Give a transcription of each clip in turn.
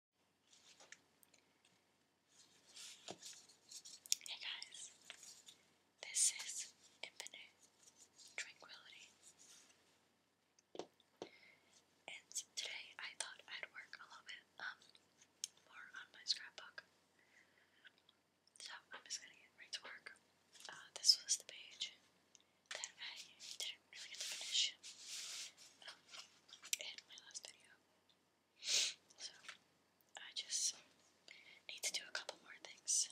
Hey guys, this is Infinite Tranquility. And today I thought I'd work a little bit um, more on my scrapbook. So I'm just gonna get right to work. Uh, this was the page that I I forget to finish in oh, my last video. So, I just need to do a couple more things.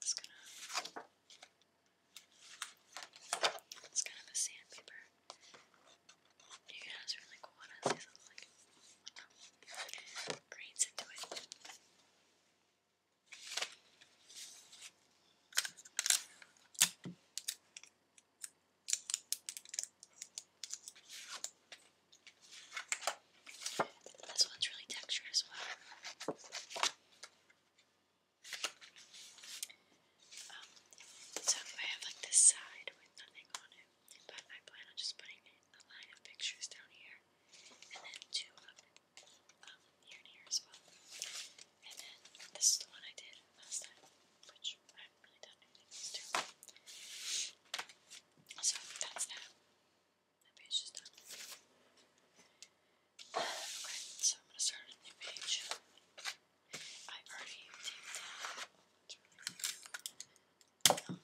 Just gonna. It's kind of a sandpaper. You can really cool one. I something like grains into it. This one's really textured as well. Um, so I have like this side with nothing on it, but I plan on just putting a line of pictures down here and then two up um, here and here as well. And then this is the one I did last time, which I haven't really done anything else So that's that. That page is done. Okay, so I'm gonna start a new page. i already taken down.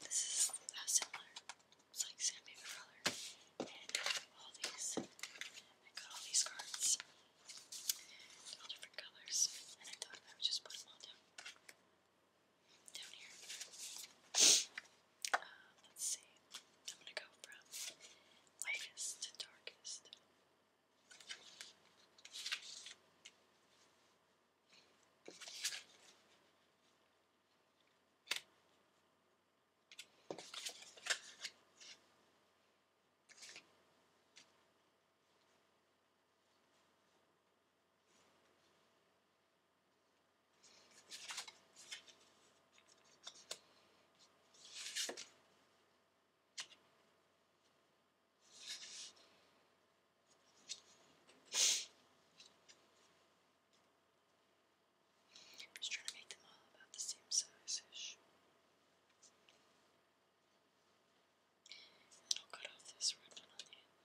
This is similar. It's like sandpaper color. And all these. I got all these cards. All different colors. And I thought I would just put them all down. Down here. Uh, let's see. I'm gonna go from lightest to darkest. Okay. Just trying to make them all about the same size-ish. And I'll cut off this red one on the end.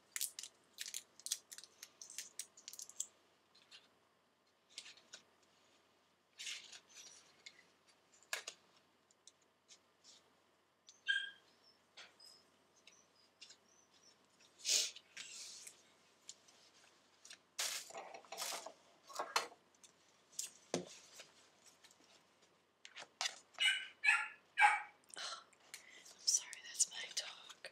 I'm sorry, that's my dog.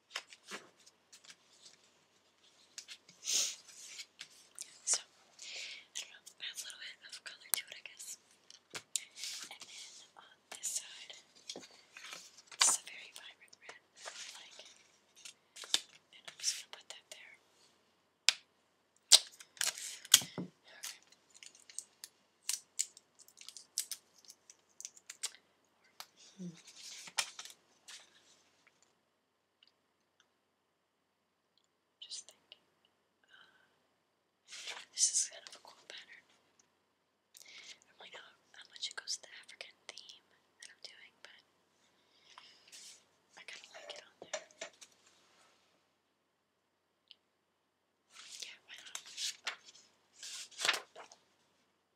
So, I don't know, adds a little bit of color to it, I guess. And then on this side, it's a very vibrant red like. And I'm just gonna put that there. Okay. Just thinking. Uh, this is kind of a cool pattern. I'm like, how, how much it goes to the African theme that I'm doing, but I kind of like it on there. Yeah, why not?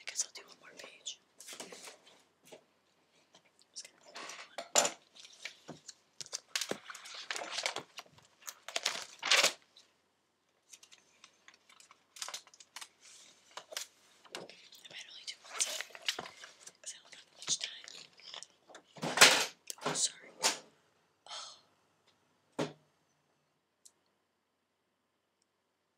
I guess I'll do one more page. I'm gonna do one. I might only do one time because I don't have much time. Oh, sorry. Oh.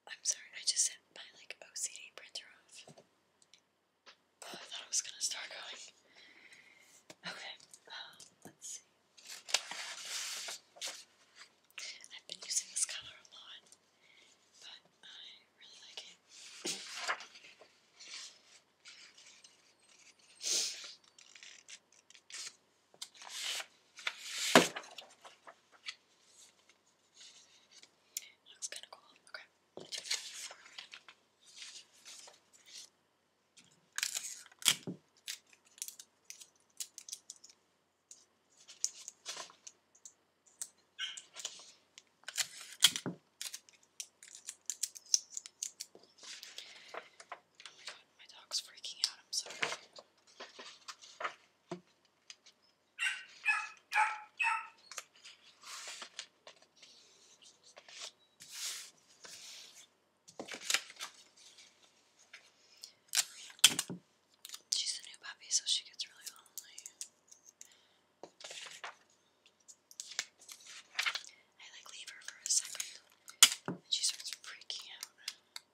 I'm sorry, I just hit my like OCD printer off. Oh, I thought I was gonna start going. Okay, um, let's see. I've been using this color a lot, but I really like it. Looks kind of cool. Okay. Oh my dog's freaking out. I'm sorry. She's a new puppy, so she gets really lonely. I like leave her for a second, and she starts freaking out.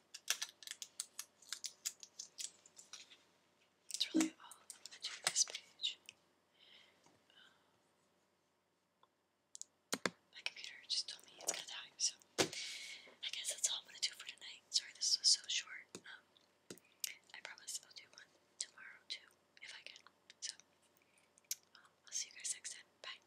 That's really all I'm going to do this page. Um, my computer just told me it's going to die, so I guess that's all I'm going to do for tonight. Sorry this was so short. Um, I promise I'll do one tomorrow too, if I can. So, um, I'll see you guys next time. Bye.